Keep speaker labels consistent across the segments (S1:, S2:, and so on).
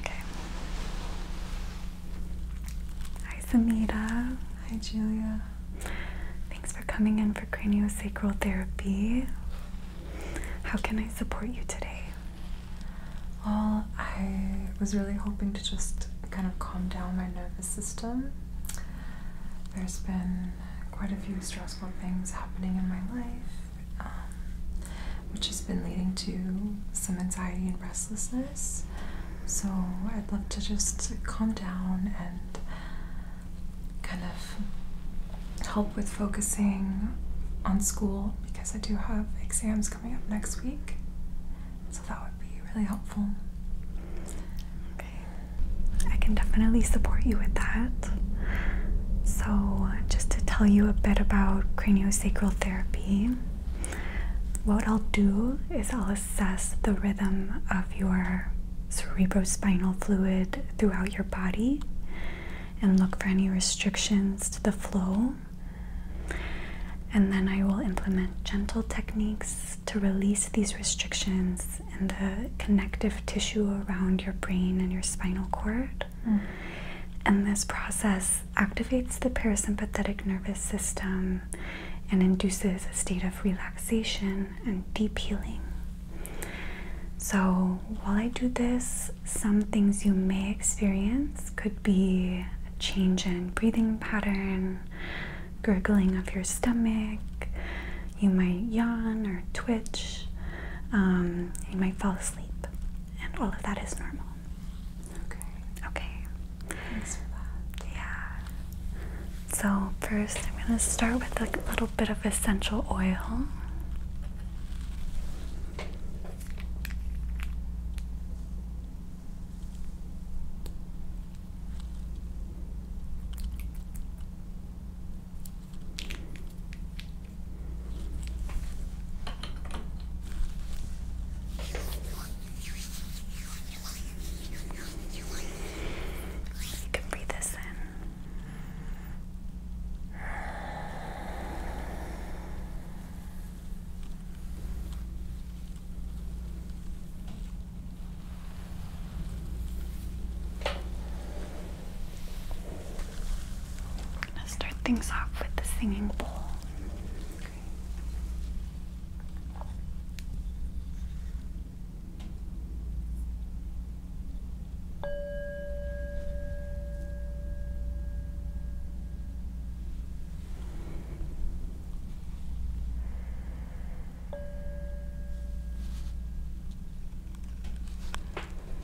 S1: Okay. Hi Samita. Hi Julia. Thanks for coming in for craniosacral
S2: therapy. How can I support you today? Well, I was really hoping to just kind of calm down my nervous system. There's been quite a few stressful things happening in my life. Um, which has been leading to some anxiety and restlessness. So I'd love to just calm down and kind of help with focusing on school because I do have exams coming up next week. So that would be really helpful. Okay. I can definitely support you with that.
S1: So, just to tell you a bit about craniosacral Sacral therapy, what I'll do is I'll assess the rhythm of your cerebrospinal fluid throughout your body and look for any restrictions to the flow. And then I will implement gentle techniques to release these restrictions in the connective tissue around your brain and your spinal cord. Mm. And this process activates the parasympathetic nervous system and induces a state of relaxation and deep healing. So, while I do this, some things you may experience could be a change in breathing pattern, gurgling of your stomach, you might yawn or twitch, um, you might fall asleep, and all of that is normal. Okay. Okay. Thanks for that. Yeah. So first, I'm gonna start with like a little bit of essential oil. You can breathe this in. I'm gonna start things off with the singing bowl.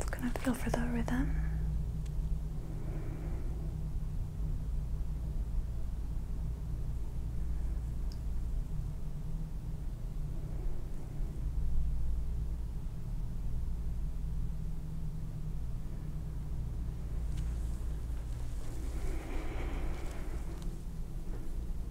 S1: I'm gonna feel for the rhythm.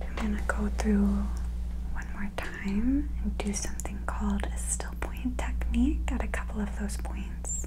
S2: I'm gonna go through one more time
S1: and do something called a still point technique at a couple of those points.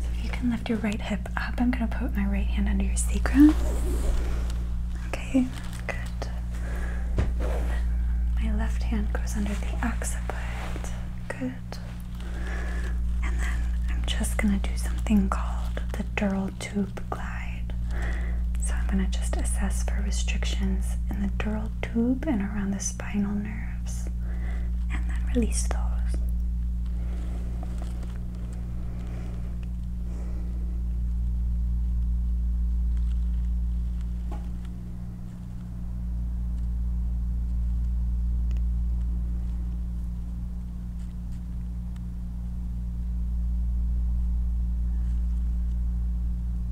S1: So if you can lift your right hip up, I'm going to put my right hand under your sacrum. Okay, good. My left hand goes under the occiput. Good. And then I'm just going to do something called the dural tube glass. So I'm going to just assess for restrictions in the dural tube and around the spinal nerves and then release those.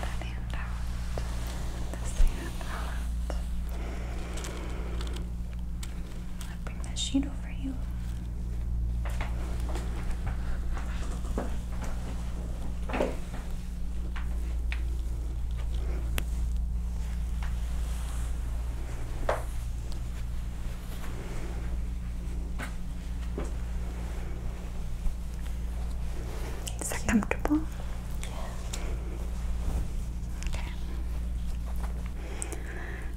S1: The hand out. This hand out. I'll bring that sheet over you. Okay. Is that comfortable? Yeah. Okay.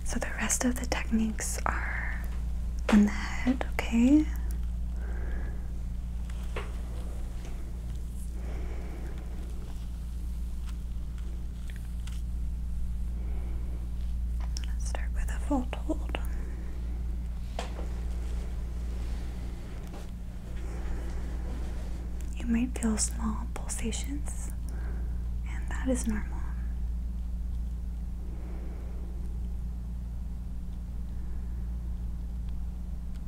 S1: So the rest of the techniques are in the head, okay? Let's start with a fold hold. You might feel small pulsations, and that is normal.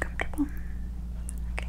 S1: Comfortable? Okay.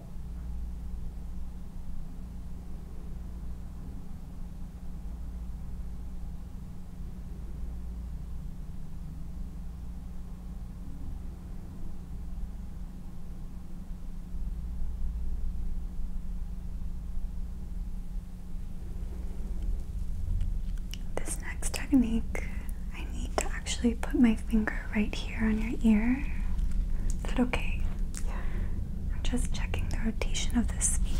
S1: This next technique, I need to actually put my finger right here on your ear. Is that okay? Yeah. I'm just checking the rotation of this spleen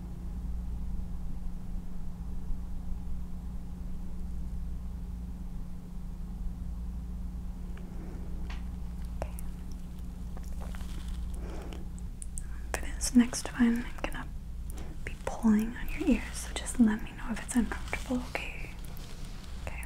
S1: For this next one, I'm gonna be pulling on your ears, so just let me know if it's uncomfortable, okay? Okay.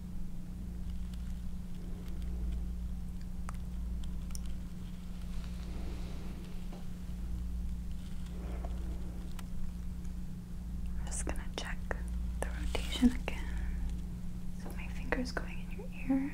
S1: I'm just gonna check the rotation again.
S2: So my finger's going in your ear.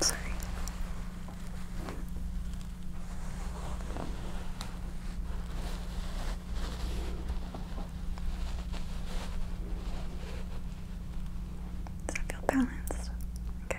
S1: Sorry. Does that feel balanced? Okay.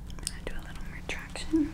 S1: I'm do a little more traction.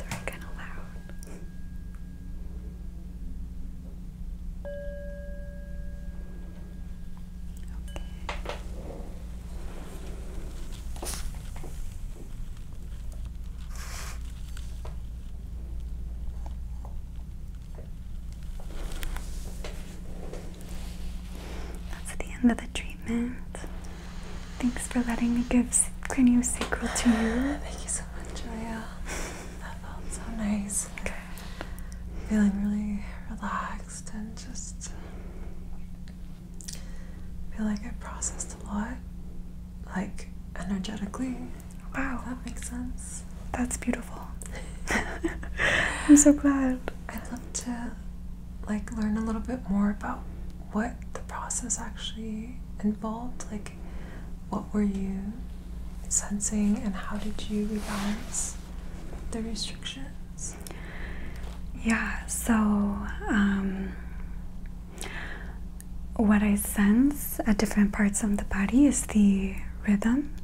S1: They're kind of loud. Okay. That's the end of the treatment. Thanks for letting me give craniosacral to you. Thank you so much,
S2: Julia. That felt so nice. Good. Feeling really relaxed and just I feel like I processed a lot, like energetically. Wow. That makes sense. That's beautiful. I'm so glad. I'd love to like learn a little bit more about what the process actually involved. Like what were you sensing and how did you rebalance the restriction? Yeah, so um,
S1: what I sense at different parts of the body is the rhythm,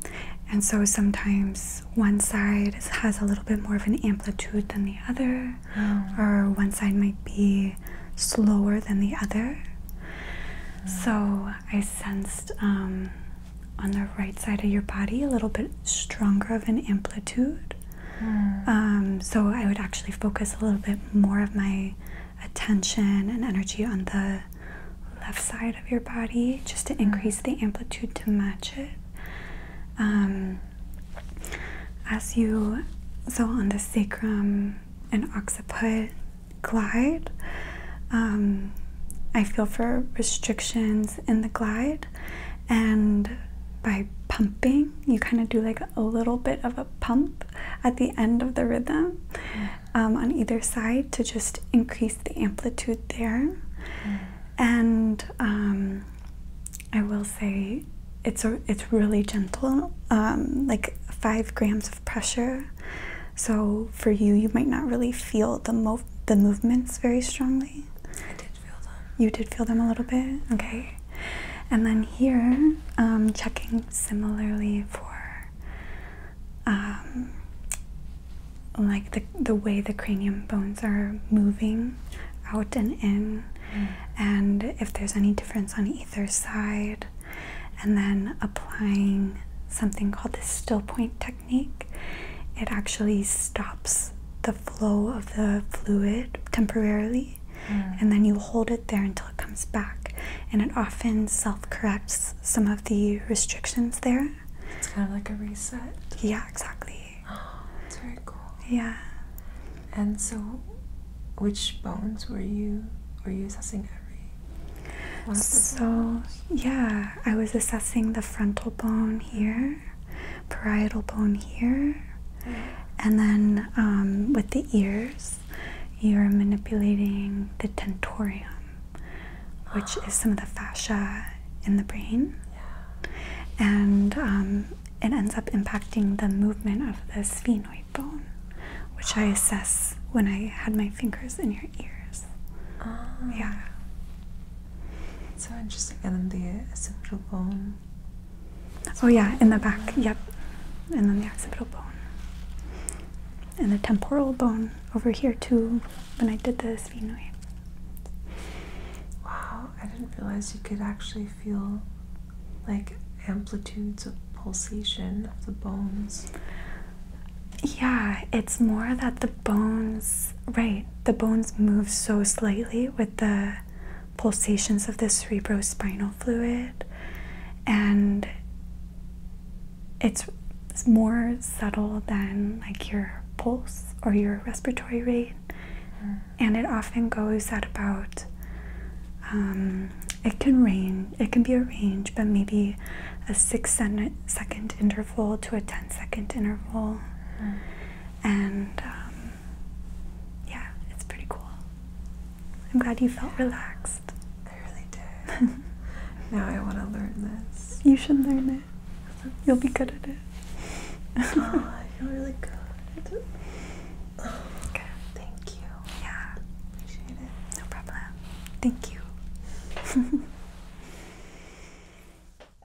S1: and so sometimes one side has a little bit more of an amplitude than the other, oh. or one side might be slower than the other. So I sensed um, on the right side of your body a little bit stronger of an amplitude. Hmm. Um, so I would actually focus a little bit more of my attention and energy on the left side of your body just to hmm. increase the amplitude to match it. Um, as you, so on the sacrum and occiput glide, um, I feel for restrictions in the glide and by pumping you kind of do like a little bit of a pump at the end of the rhythm mm. um, on either side to just increase the amplitude there mm. and um, i will say it's it's really gentle um, like five grams of pressure so for you you might not really feel the, mo the movements very strongly you did feel them a little bit? Okay. And then here, um, checking similarly for um, like the, the way the cranium bones are moving out and in, mm. and if there's any difference on either side, and then applying something called the still point technique. It actually stops the flow of the fluid temporarily, mm. and then you hold it there until it comes back. And it often self corrects some of the restrictions there. It's kind
S2: of like a reset.
S1: Yeah, exactly.
S2: Oh, that's very cool. Yeah. And so, which bones were you were you assessing every? So yeah, I was assessing
S1: the frontal bone here, parietal bone here. And then um, with the ears, you're manipulating the tentorium, which is some of the fascia in the brain. And um, it ends up impacting the movement of the sphenoid bone, which I assess when I had my fingers in your ears. Ah. Yeah.
S2: So interesting. And then the occipital bone. Oh yeah, in the back. Yep. And then the occipital bone.
S1: And the temporal bone over here too when I did the sphenoid.
S2: Wow, I didn't realize you could actually feel like amplitudes of pulsation of the bones. Yeah,
S1: it's more that the bones right the bones move so slightly with the pulsations of the cerebrospinal fluid and it's more subtle than like your pulse or your respiratory rate mm. and it often goes at about um, it can range it can be a range but maybe a six second interval to a ten-second interval mm and um, yeah, it's pretty cool. I'm glad you
S2: felt relaxed. I really did. now I want to learn this. You should learn it. You'll be good at it. Oh, I feel really good. Oh, good. Thank
S1: you. Yeah. Appreciate it. No problem. Thank you.